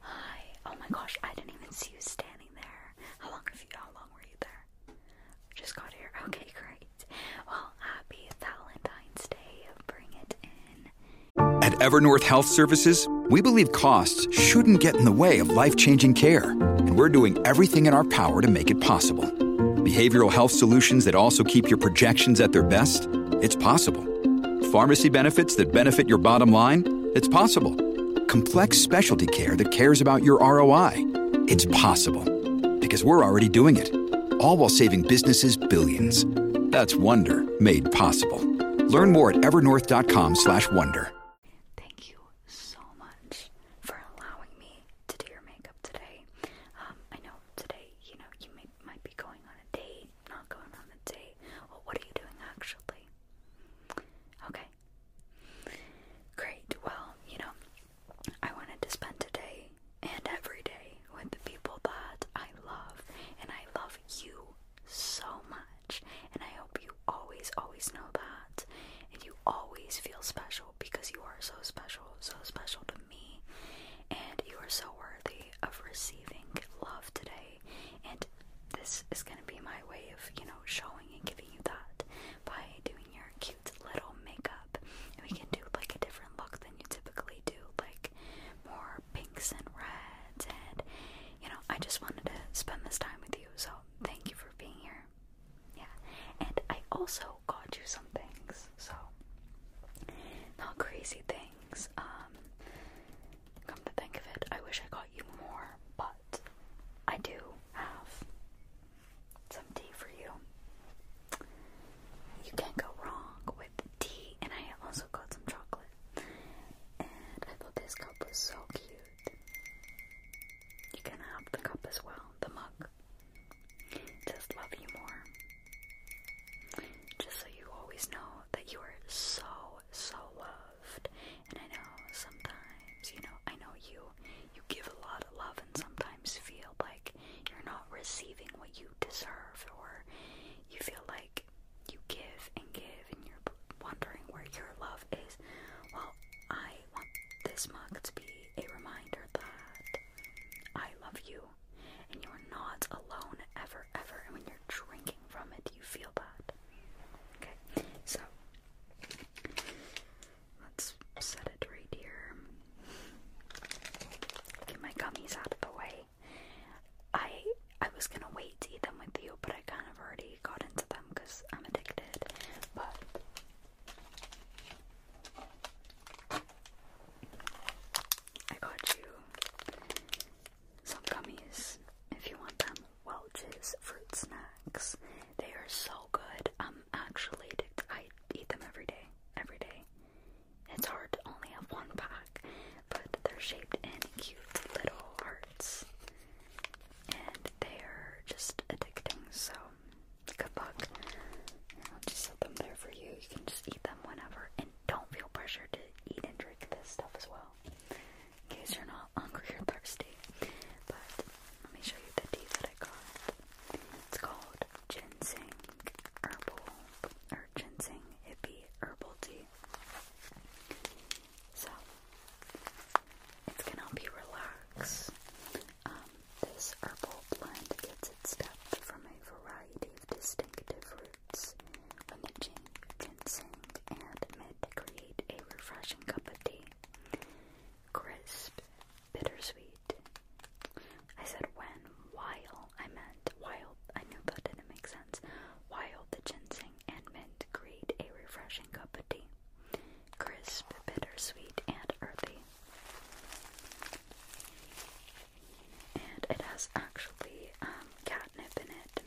Hi. Oh my gosh, I didn't even see you standing there. How long have you how long were you there? Just got here. Okay, great. Well, happy Valentine's Day. Bring it in. At Evernorth Health Services, we believe costs shouldn't get in the way of life-changing care, and we're doing everything in our power to make it possible. Behavioral health solutions that also keep your projections at their best it's possible. Pharmacy benefits that benefit your bottom line? It's possible. Complex specialty care that cares about your ROI? It's possible. Because we're already doing it. All while saving businesses billions. That's Wonder made possible. Learn more at evernorth.com/wonder. slash Thank you so much for allowing me to do your makeup today. Um, I know today, you know, you might be going on a date not going on a date. Well, what are you doing actually? Okay. Great. Well, you know, I wanted to spend today and every day with the people that I love, and I love you so much. And I hope you always, always know that. And you always feel special because you are so special, so special to me. And you are so worthy of receiving love today and this is going to be my way of, you know, showing and giving you that by doing your cute little makeup. And we can do like a different look than you typically do, like more pinks and reds. And, you know, I just wanted to spend this time with you. So thank you for being here. Yeah. And I also got you some things. So, not crazy things. Um, Come to think of it, I wish I got you more, but I do have some tea for you. You can't go wrong with tea, and I also got some chocolate. And I thought this cup was so cute. You can have the cup as well, the mug. Just love you more. Just so you always know that you are so, so loved. And I know sometimes, you know, I know you you give a lot of love and sometimes feel like you're not receiving what you deserve or you feel like you give and give and you're wondering where your love is. Well, I want this mug to be a reminder that I love you and you are not alone ever, ever. And when drinking from it, you feel that. Okay, so let's set it right here. Get my gummies out of the way. I I was gonna wait to eat them with you, but I kind of already got into them because I'm addicted. But I got you some gummies, if you want them. Welch's fruit snacks. They are so good. I'm actually I eat them every day. Every day. It's hard to only have one pack, but they're shaped in cute little hearts. And they're just addicting, so good luck. I'll just set them there for you. You can just eat them whenever and don't feel pressure to eat and drink this stuff as well in case you're not hungry or thirsty. But let me show you the tea that I got. It's called ginseng herbal or ginseng hippie herbal tea. So it's gonna help you relax. Um, this herbal blend gets its depth from a variety of distinctive root when the ginseng and mint create a refreshing cup of tea. Crisp, bittersweet. I said when, while, I meant while, I knew that didn't make sense. While the ginseng and mint create a refreshing cup of tea. Crisp, bittersweet, and earthy. And it has actually um, catnip in it,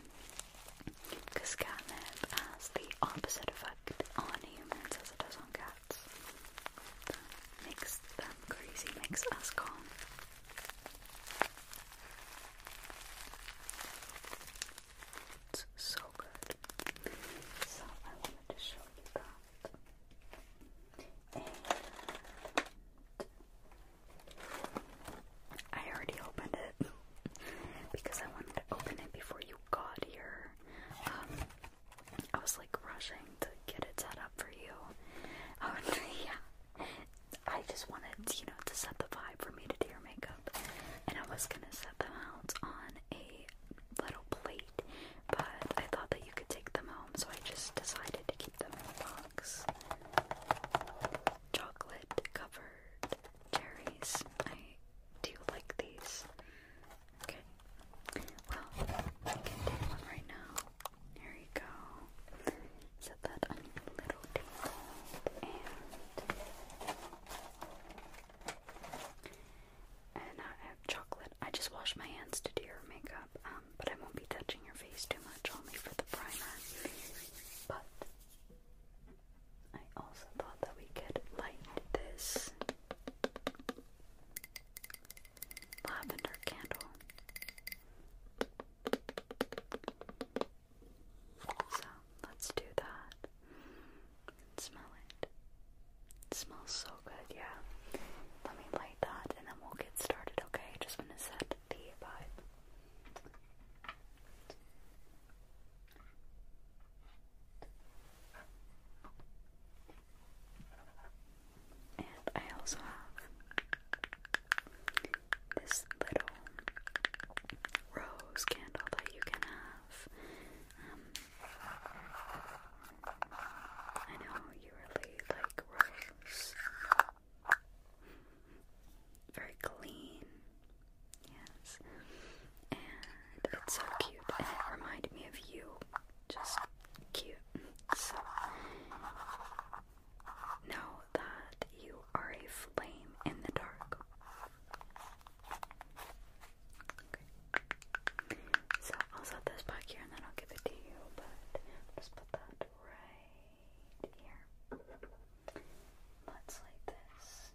because has the opposite effect on humans as it does on cats. makes them crazy, makes us calm. It's so good. So I wanted to show you that. I already opened it because I wanted to open it before you got here. Um, I was like rushing to get it set up for you. Oh, yeah. I just wanted, you know, to set the vibe for me to do your makeup. And I was gonna set them out on a little plate, but I thought that you could take them home, so I just decided to keep them in the box. Chocolate covered cherries. I do like these. Okay. Well, I can take one right now. Here you go. Set that on your little table and and I have chocolate. I just washed my hands to do your makeup, um, but I won't be touching your face too much, only for the primer. But I also thought that we could light this lavender candle. So let's do that. Smell it. smells so good, yeah. Let me light that and then we'll get started, okay? Just want to set the vibe. And I also have this little rose candle that you can have. Um, I know you really like rose. Very clean. Yes. And it's so cute. it reminded me of you. Just cute. So know that you are a flame in the dark. Okay. So I'll set this back here and then I'll give it to you, but I'll put that right here. Much like this.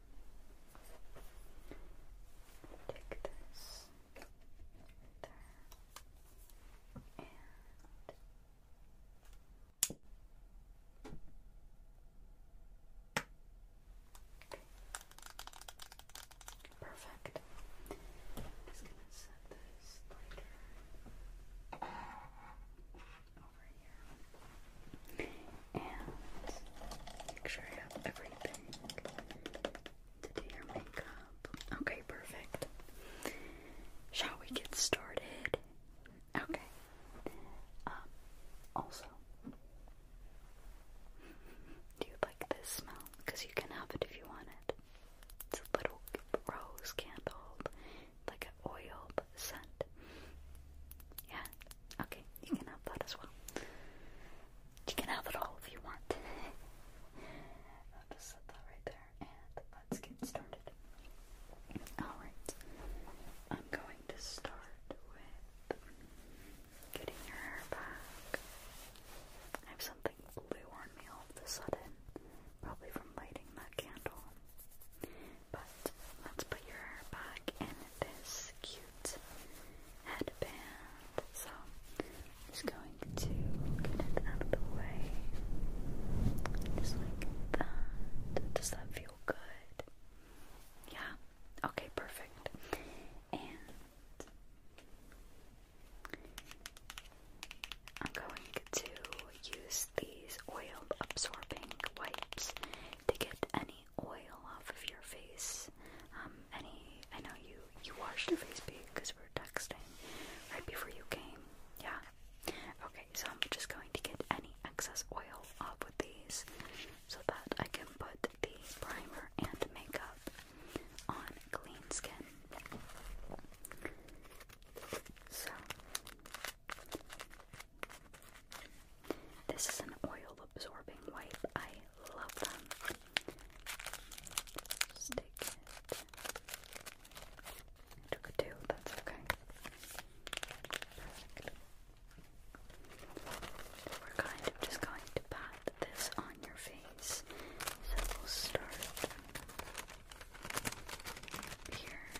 Take this there. And Perfect. just gonna set this later. Okay, perfect. Shall we get started? Okay. Um, also, do you like this smell? Because you can have it if you want it. It's a little rose candle like an oil scent. Yeah? Okay, you can have that as well. You can have it all if you want. i just set that right there and let's get started. Alright, I'm going to start with getting your hair back. I have something blue on me all of a sudden, probably from lighting that candle. But let's put your hair back in this cute headband. So I'm just going to get it out of the way. Just like that. Does that feel good? Yeah. Okay, perfect. And I'm going to use these oil absorbing wipes to get any oil off of your face. Um, any, I know you you washed your face because we were texting right before you came. Yeah. Okay, so I'm just going to get any excess oil off with these so that I can put the primer and makeup on clean skin. So this is an oil absorbing wipe. I love them. Stick it. took a two, that's okay. We're kind of just going to pat this on your face. So we'll start here.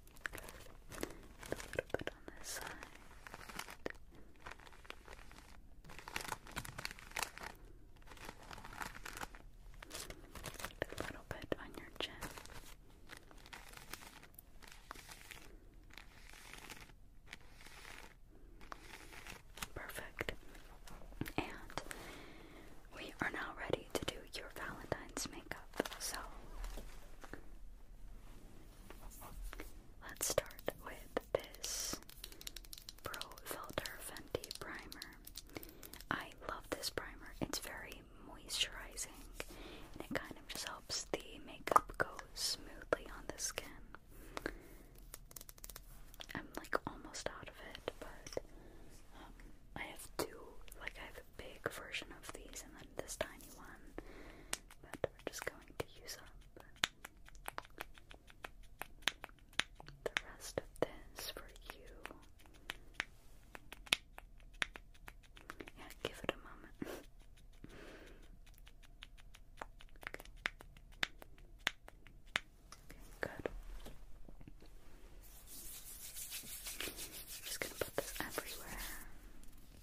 a little bit on this side. a little bit on your chin. Perfect. And we are now ready to do your Valentine's makeup. So let's start with this Pro Filter Fenty Primer. I love this primer. It's very moisturizing and it kind of just helps the makeup go smoothly on the skin. I'm like almost out of it, but um, I have two, like I have big version of these and then this tiny one, but we're just going to use up the rest of this for you. Yeah, give it a moment. okay. good. just gonna put this everywhere.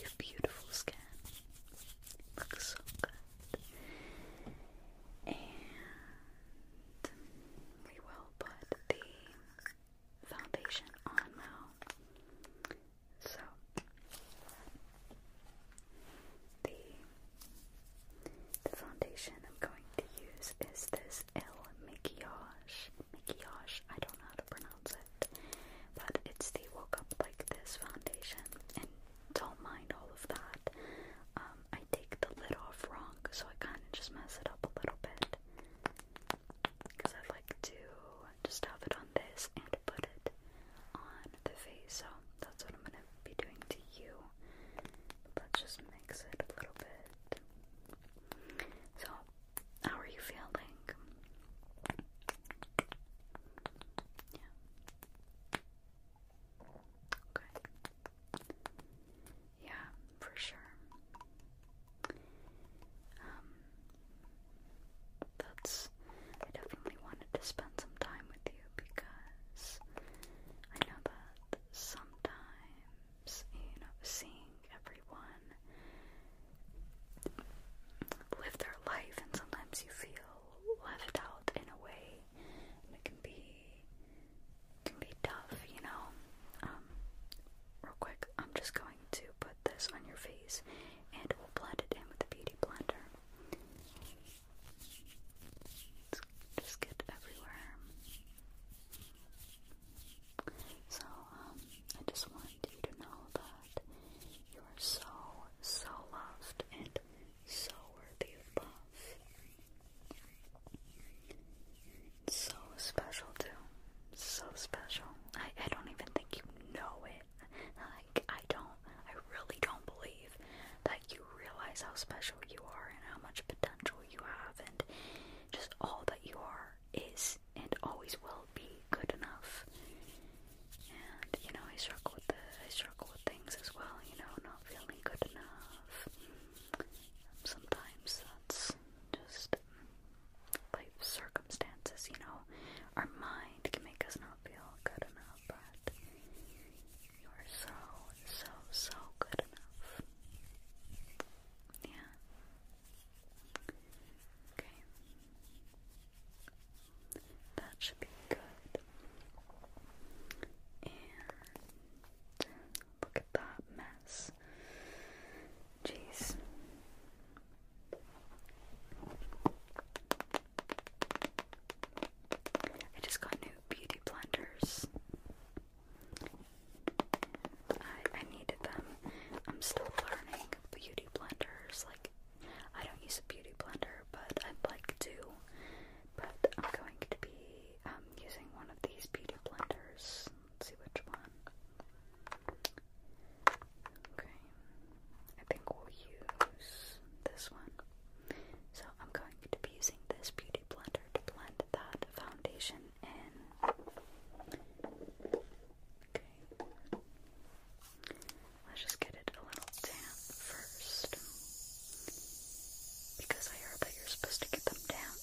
Your beautiful skin looks so good. And we will put the foundation on now. So the foundation I'm going to use is this it's El Maquillage. Maquillage, I don't know how to pronounce it. But it's the Woke Up Like This foundation. And don't mind all of that. Um, I take the lid off wrong, so I kind of just mess it up a little bit. Because I like to just have it on this and put it on the face. So that's what I'm going to be doing to you. let just makes it a little bit. So, how are you feeling? Yeah. Okay. Yeah, for sure. Um, that's. I definitely wanted to spend some time with you because I know that sometimes times, seeing everyone live their life, and sometimes you feel left out in a way, it can be can be tough, you know. Um, real quick, I'm just going to put this on your face, and we'll blend it in with the beauty blender. just get everywhere. So, um, I just want you to know that you are so, so loved and so worthy of love. so special, too. So special. I, I don't even think you know it. Like, I don't, I really don't believe that you realize how special you are and how much potential you have and just all the you are, is, and always will be good enough. And you know, I struggle with the, I struggle with things as well. You know, not feeling good enough. Sometimes that's just life circumstances. You know, our mind can make us not feel good enough, but you are so, so, so good enough. Yeah. Okay. That should be good. And look at that mess. Jeez. I just got new beauty blenders. I, I them. I'm still learning beauty blenders. Like, I don't use a beauty blender, but I'd like to. But I'm going to be um, using one of these beauty blenders. Let's see which one. Okay. I think we'll use this one. So I'm going to be using this beauty blender to blend that foundation Okay. Let's just get it a little damp first. Because I heard that you're supposed to get them damp.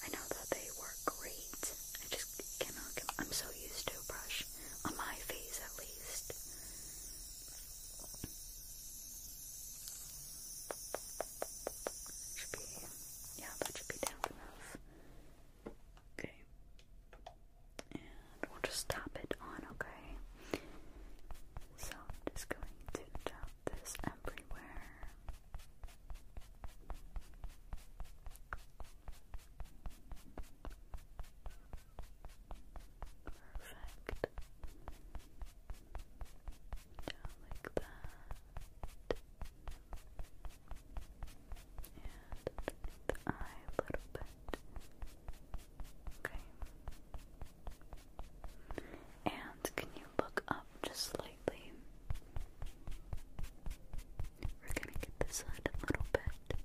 I know that they work great. I just cannot I'm so used to brush. On my face at least yeah, that should be damp enough. Okay. And we'll just tap it on, okay? So I'm just going to tap this everywhere. Perfect. Yeah, like that underneath the eye a little bit. Okay. And can you look up just slightly? We're gonna get this side a little bit.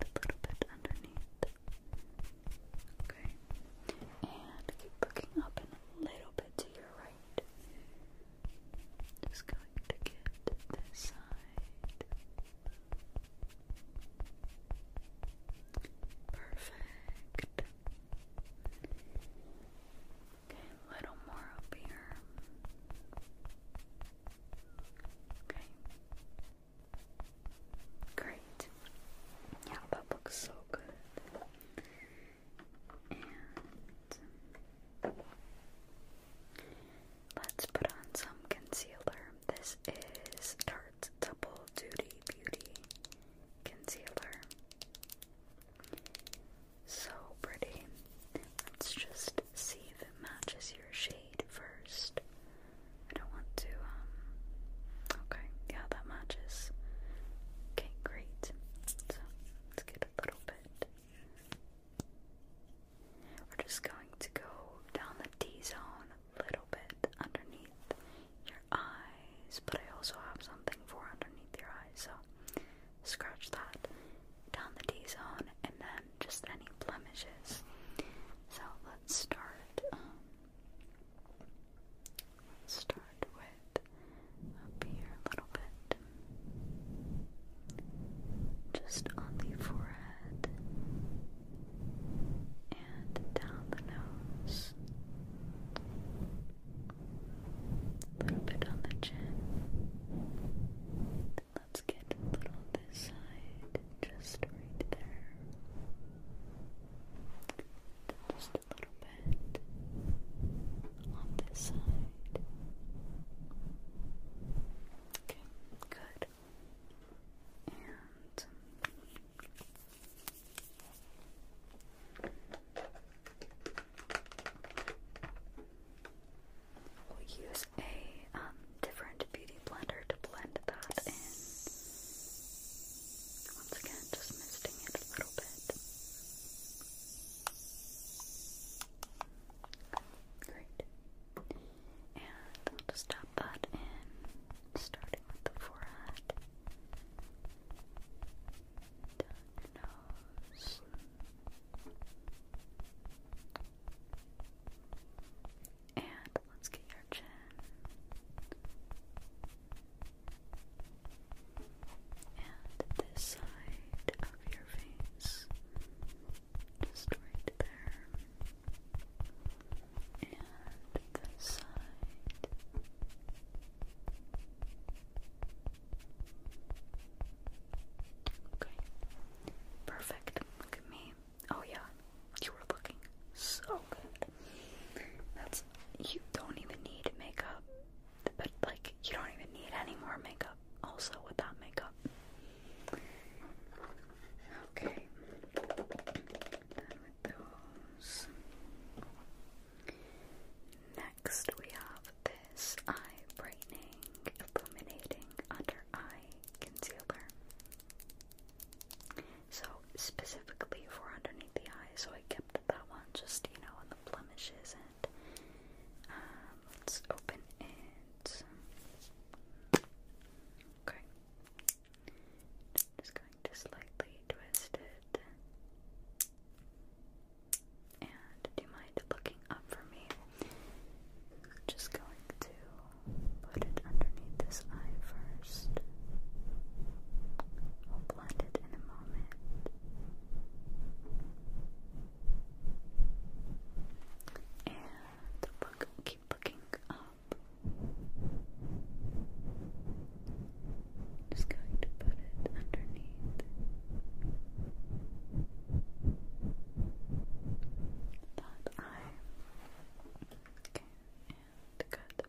A little bit underneath. Okay. And keep looking up a little bit to your right. Just going to get this side. Perfect. Okay, a little more up here. Okay. Great. Yeah, that looks so good let's put on some concealer. This is Tarte's Double Duty Beauty Concealer. So pretty. Let's just see if it matches your shade first. I don't want to, um, okay, yeah, matches. Okay, great. So let's get a little bit. We're just going to go down the D zone a little bit underneath your eyes, but I also have something for underneath your eyes, so scratch that down the D zone and then just any blemishes. So let's start. Um, Let's start with up here a little bit. Just on the forehead and down the nose. A little bit on the chin. Let's get a little this side, just right there just a little bit on this side. Okay, good. And we'll use a um, different beauty blender to blend that in. Once again, just misting it a little bit. Great. And we'll just stop that in, starting with the forehead, nose, and let's get your chin, and this side of your face, just right there. And this side. Okay. Perfect. Look at me. Oh yeah. You were looking so good. That's you don't even need makeup, but like you don't even need any more makeup. Also, with makeup. Okay. with those. Next, we have this eye brightening, illuminating under eye concealer. So specifically for underneath the eye, so I kept that one just, you know, on the blemishes and um, let's open it. Okay. Just going to slightly twist it. And do you mind looking up for me? Just going to put it underneath this eye first flooded in a moment. And look, keep looking up. Just going to put it underneath. That eye. Okay, and good.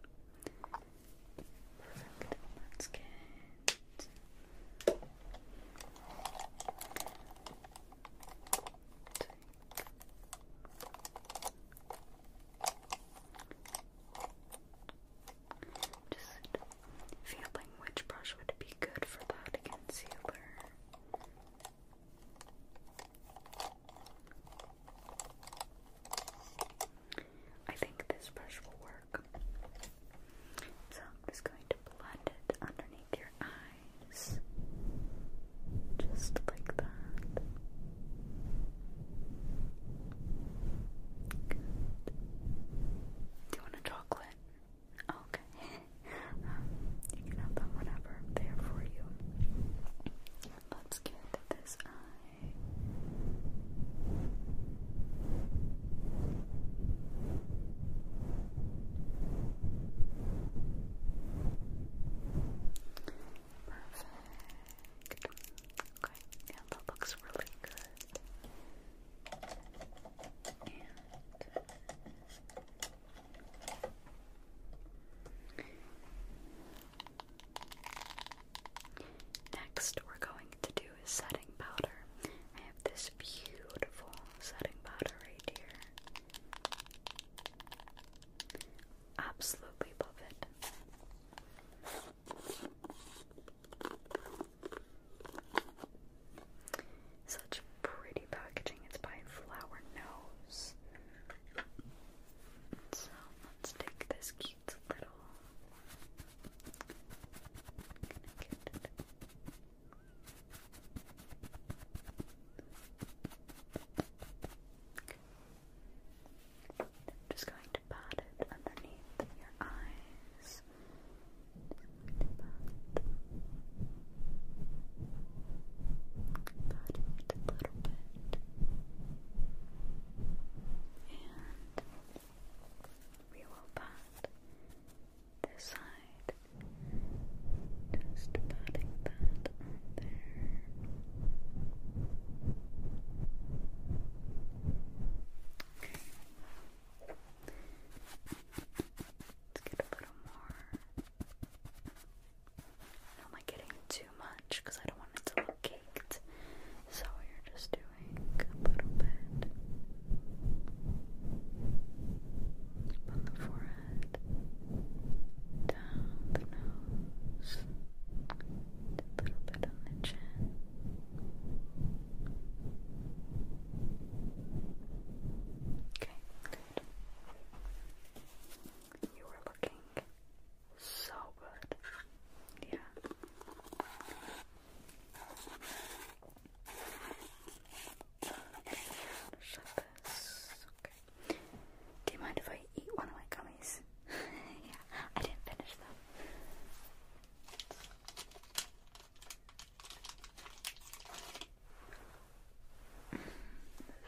Perfect. That's good. Just feeling which brush would be good for that concealer. I think this brush will work. So I'm just going to blend it underneath your eyes. Just like that. Good. Do you want a chocolate? okay. Um, you can have them whenever I'm for you. Let's get this eye. Perfect. Okay, yeah, that looks really good. Next, we're going to do is setting powder. I have this beautiful setting powder right here. Absolutely love it. Such pretty packaging. It's by Flower Nose. So let's take this cute little I'm just going to pat it underneath your eyes. Pat. it a little bit. And we will pat this side, just patting that there. Okay. Let's get a little more. Am I getting too much? Because I don't want it to look caked. So you're just doing doing a little bit on the forehead, down the nose, a little bit on the chin. Okay, good. You were looking so good. Yeah. Do you mind if I eat one of my gummies? yeah, I didn't finish them. Mm,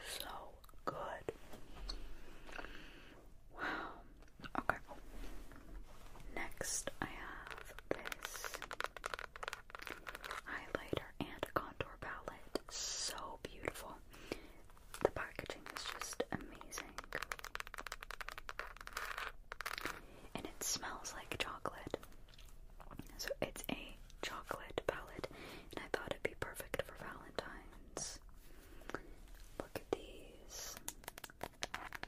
so good. Wow. Okay. Next, I have this highlighter and contour palette. So beautiful. The packaging is just amazing. And it smells like chocolate. So it's a chocolate palette, and I thought it'd be perfect for Valentine's. Look at these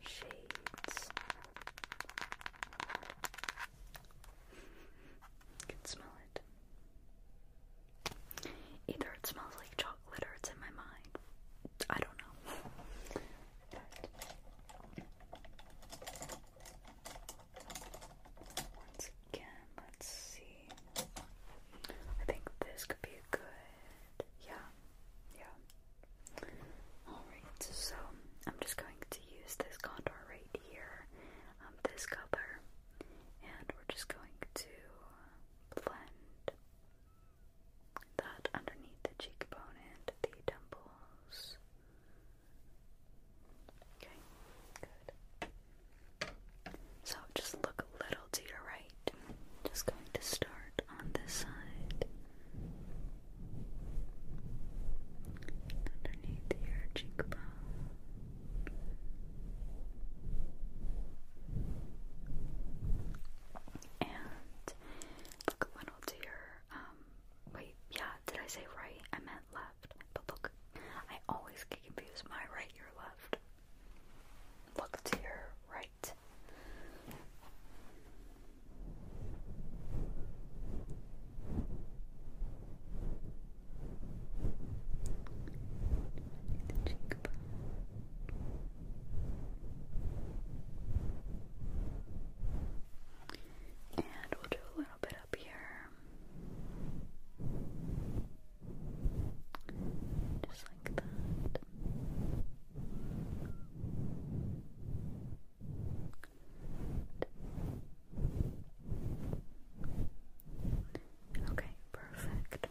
shades. can smell it. Either it smells like chocolate or it's in my mind. I don't know. once again, let's see. I think this could be good. Yeah, yeah. Alright, so I'm just going to use this contour right here, um, this color, and we're just going to blend that underneath the cheekbone and the temples. Okay, good. So just look a little to your right. Just going to start on this side. Underneath your cheekbone. And look when I'll do your um, wait, yeah, did I say right? I meant left. But look, I always get confused my right, your left. Look to your right heart. The And we'll do a little bit up here. Just like that. Okay, perfect.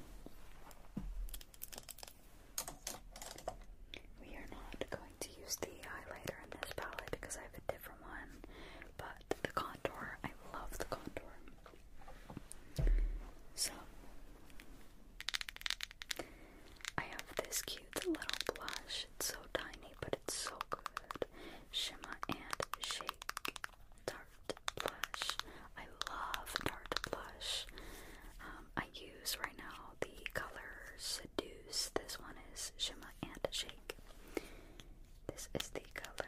We are not going to use the highlighter in this palette because I have a different one, but the contour, I love the contour. So, I have this cute little blush. It's so tiny, but it's so good. Shimmer and Shake Tarte Blush. I love Tarte Blush. Um, I use right now the color Seduce. This one is Shimmer and Shake. This is the color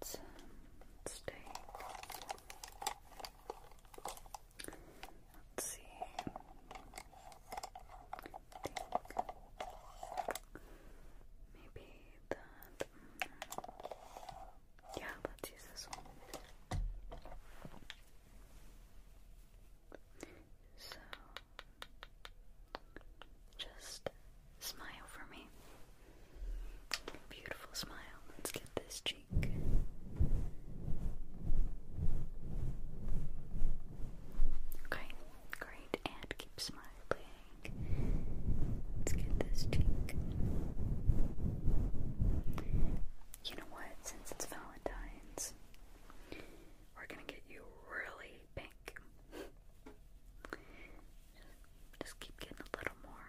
let's take. Let's see. Maybe that. Mm, yeah, let's use this one. So, just Smile for me. Beautiful smile. Let's get this cheek. Okay, great. And keep smiling. Let's get this cheek. You know what? Since it's Valentine's, we're gonna get you really pink. Just keep getting a little more.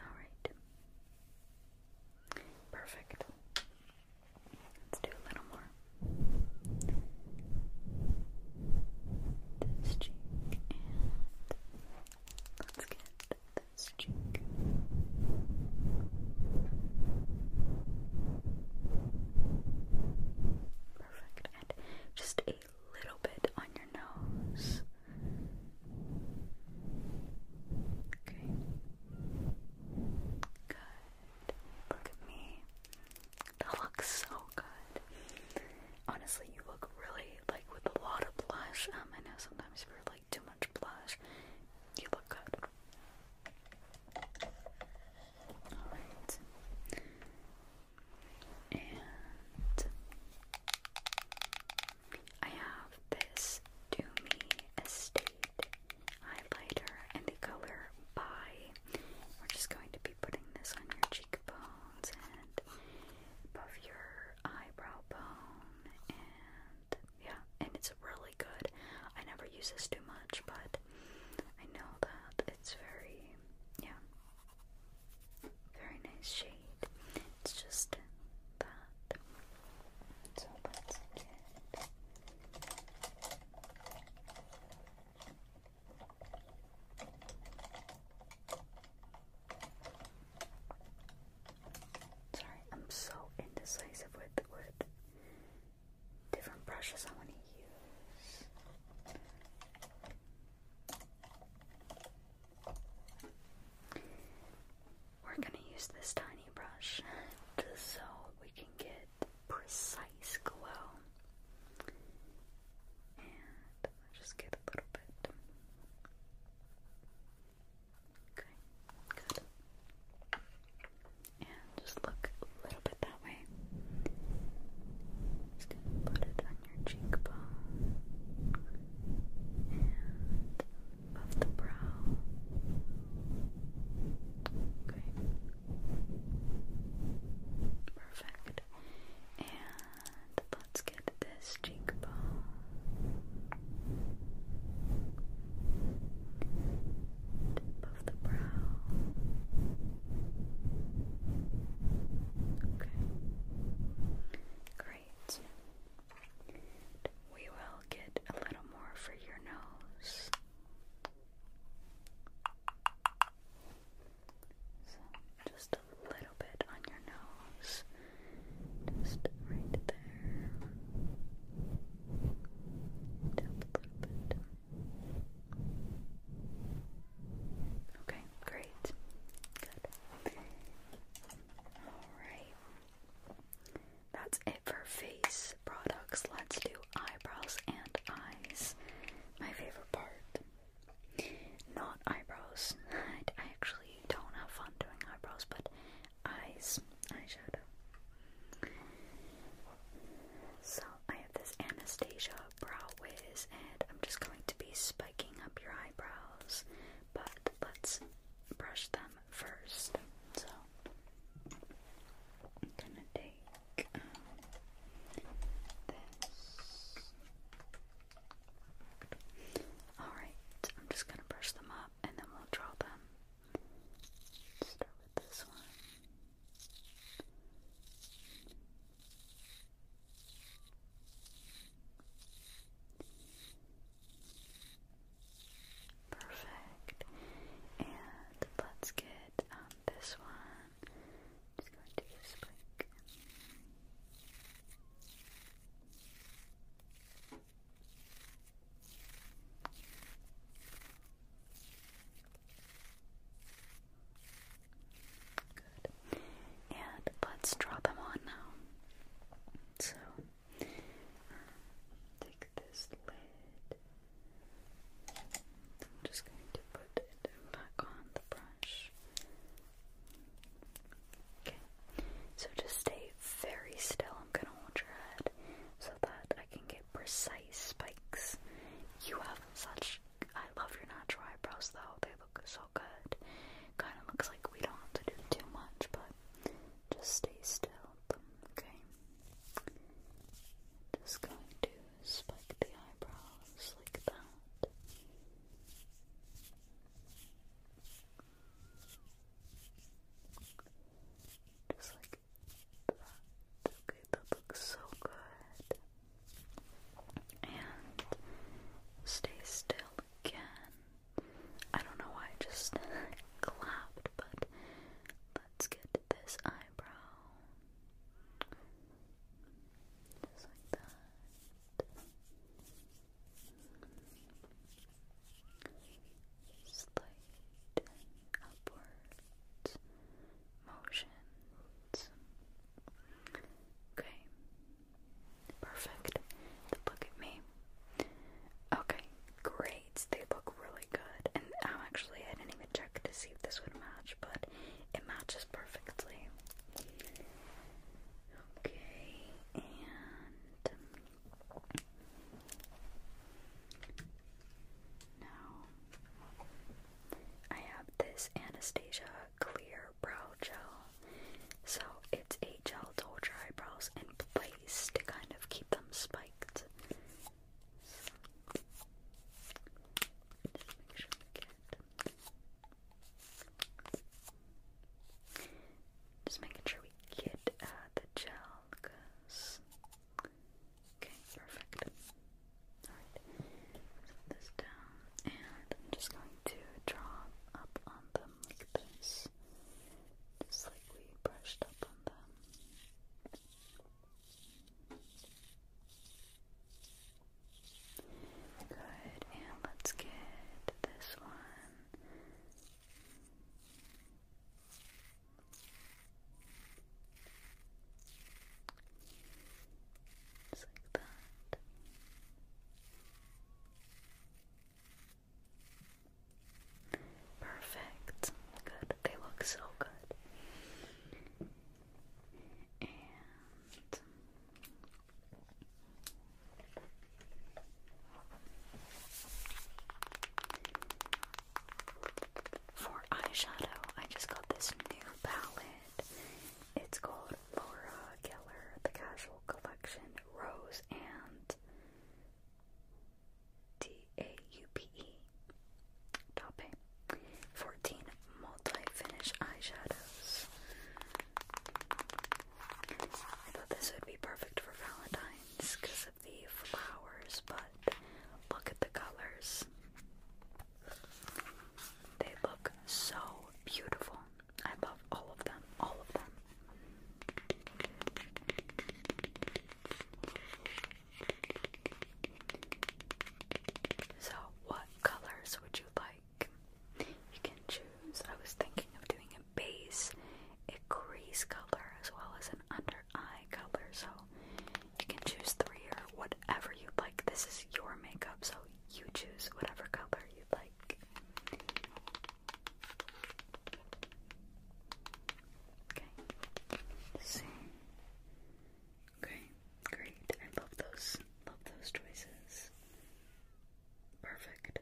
Alright. Perfect. Let's do a little more. This cheek and let's get this cheek. Perfect. And just a little bit on your nose. Okay. Good. Look at me. That looks so good. Honestly, you look really like with a lot of blush. Um, I know sometimes you like too much blush. You look good. All right. And I have this Do Estate highlighter in the color Pie. We're just going to be putting this on your cheekbones and above your eyebrow bone, and yeah, and it's really good. I never use this too much, but I know that it's very, yeah, very nice shade. It's just that. So let's Sorry, I'm so indecisive with with different brushes I want to use. We're going to use this tiny brush just so we can get precise glow. And just get a little bit. Okay, good and just look a little bit that way. Just gonna put it on your cheekbone and above the brow. Okay. Perfect. And let's get this cheekbone tip the brow. Okay. Great. We will get a little more for your nose. So, just a little bit on your nose. Just right there. Tap a little bit. Okay, great. Good. Alright. That's it for face products. Let's do eyebrows and eyes. My favorite part. Not eyebrows. I, I actually don't have fun doing eyebrows, but eyes. Eyeshadow. So I have this Anastasia Brow Wiz, and I'm just going to be spiking up your eyebrows, but let's brush them first. So I'm gonna take um, this. Alright, I'm just gonna brush them up and then we'll draw them. start with this one. Perfect. And let's get um, this one. Just going to this blink. Good. And let's draw them on now. So, take this lid. I'm just going to put it back on the brush. Okay. So just stay very still. I'm going to hold your head so that I can get precise spikes. You have such. I love your natural eyebrows though, they look so good. Kind of looks like we don't have to do too much, but just stay still okay? Just going to spike the eyebrows like that. Just like Okay, that looks so good. And stay still again. I don't know why I just clapped, but let's get this eyebrow. Just like that. Slight upwards motions. Okay. Perfect. look at me. Okay, great. They look really good. And I'm actually I didn't even check to see if this would match, but it matches perfectly. Okay, and now I have this Anastasia Clear Brow Gel. So it's a gel to hold your eyebrows in place to kind of keep them spiked. Just making sure we get uh, the gel because Okay, perfect. Alright, put this down, and I'm just going to draw up on them like this, just like we brushed up on them. Good, and let's get this one. Just like that. Perfect. Good. They look so good. And for eyeshadow, I just got this new palette. It's called Laura Keller, the Casual Collection, Rose and D-A-U-P-E. 14 multi-finish eyeshadows. I thought this would be perfect for Valentine's because of the flowers, but look at the colors. They look so beautiful. I love all of them. All of them. So, what colors would you like? You can choose. I was thinking of doing a base, a crease color, as well as an under eye color. So, you can choose three or whatever you like. This is your makeup, so you choose whatever color you like. Okay. See. Okay, great. I love those. Love those choices. Perfect.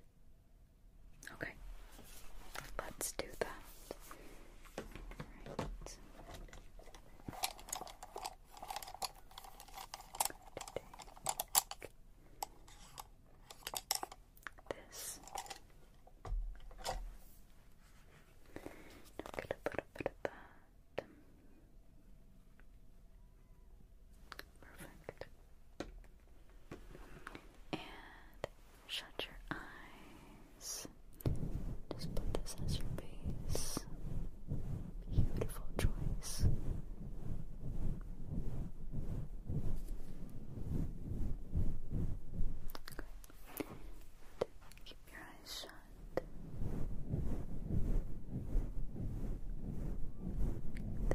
Okay. Let's do that. All right this. I'll get a bit of that. Perfect. And shut your eyes. Just put this as your base. Beautiful choice. Good. Keep your eyes shut.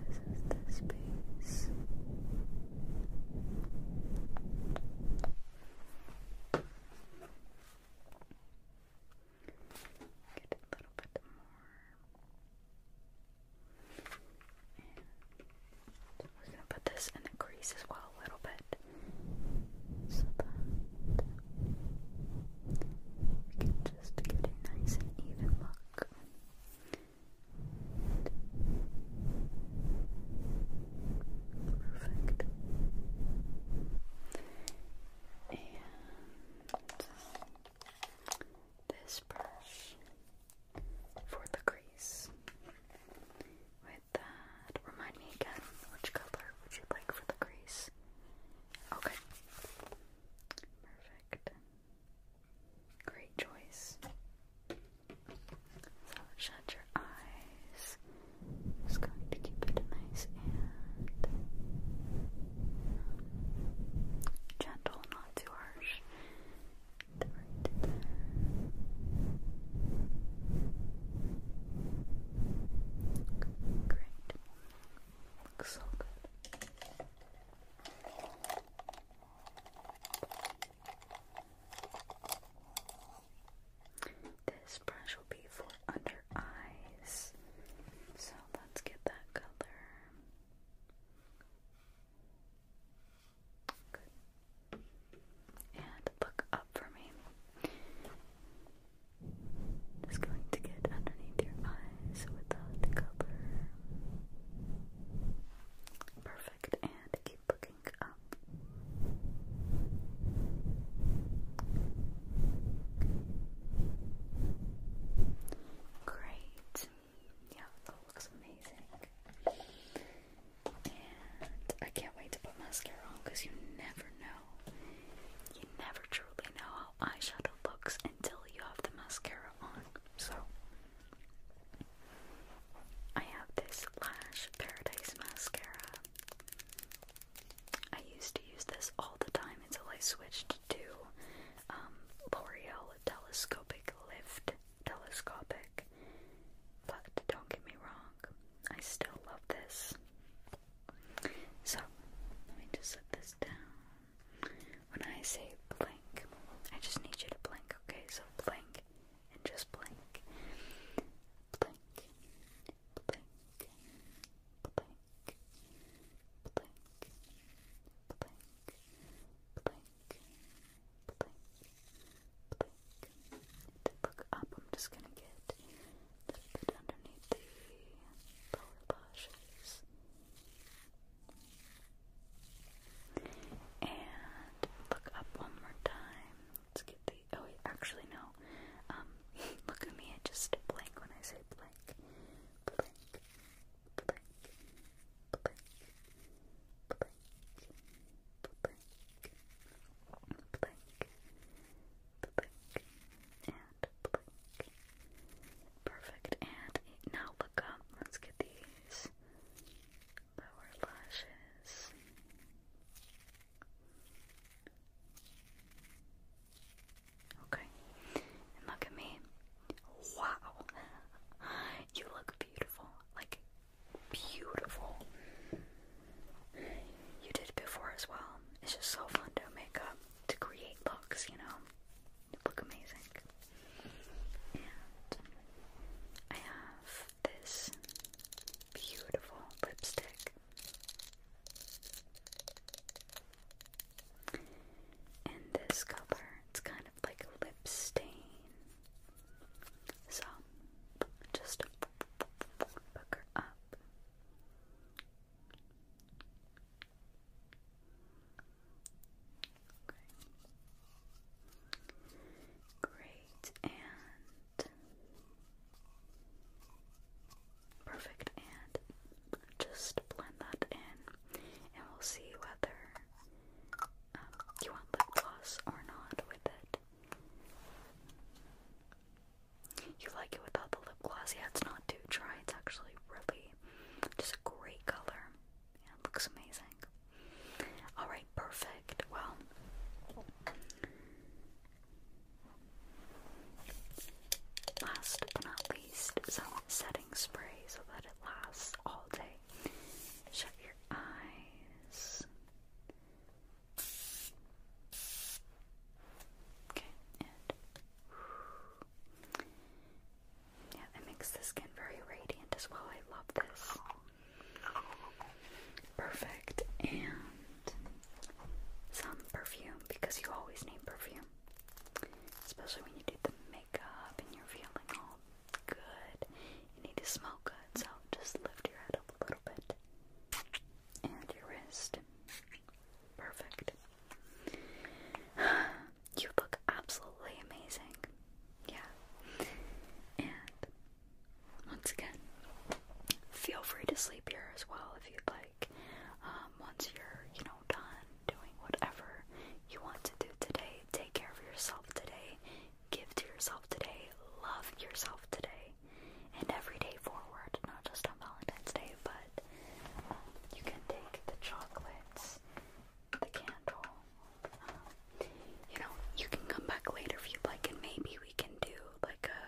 This is the space. Get a little bit more. we're gonna put this in the crease as well a little bit. So that we can just get a nice and even look. Perfect and this brush for the crease. With that, remind me again which color would you like for the crease? Okay, perfect. Great choice. So shut your eyes just going to keep it nice and um, gentle, not too harsh. Right Great. Looks so good. This brush will be for under eyes. So let's get that color. And look up for me. Just going to get underneath your eyes without the color. Perfect. And keep looking up. Great. Yeah, that looks amazing. And I can't wait to put mascara on because you never know. You never truly know how eyeshadow looks until you have the mascara on. So, I have this Lash Paradise mascara. I used to use this all the time until I switched to um, L'Oreal Telescopic Lift. Telescopic. But don't get me wrong, I still love this. So, let me just set this down. When I say blank, I just need you to blink, okay? So blank and just blink. Blink. Blink blink, blink, look up, I'm just gonna get a underneath the lower And look up one more time. Let's get the oh wait, actually no. Um, look at me, I just blank when I say blank. Blank, blank, blank, blank, blank, blank, blank, and blank. Perfect, and now look up, let's get these lower lashes. Okay. look at me. Wow. You look beautiful. Like, beautiful. You did it before as well. It's just so fun to make up, to create looks, you know? You look amazing. And I have this beautiful lipstick. And this color, it's kind of like a lip stain. So, just hook her up. Great, and Perfect, and just blend that in, and we'll see whether um, you want lip gloss or not with it. You like it without the lip gloss? Yeah, it's not too dry. It's actually really just a great color. Yeah, it looks amazing. All right, perfect. Well, Last but not least is setting spray so that it lasts all day. Shut your eyes. Okay, and yeah, it makes the skin very radiant as well. I love this. Perfect. And some perfume because you always need perfume, especially when you do the makeup and you're feeling all good. You need to smell good, so just lift your head up a little bit and your wrist. Perfect. You look absolutely amazing. Yeah. And once again, feel free to sleep here as well if you'd like. Um, once you're you know done doing whatever you want to do today, take care of yourself today, give to yourself today, love yourself today, and every day forward, not just on Valentine's Day, but um, you can take the chocolates, the candle. Um, you know, you can come back later if you'd like, and maybe we can do like a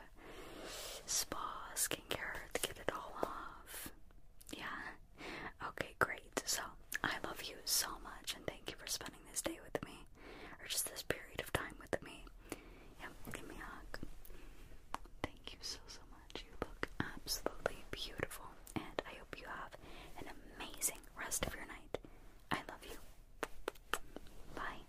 spa skincare to get it all off. Yeah? Okay, great. So, I love you so much and thank you for spending this day with me, or just this period of time with me. Yep, give me a hug. Thank you so, so much. You look absolutely beautiful, and I hope you have an amazing rest of your night. I love you. Bye.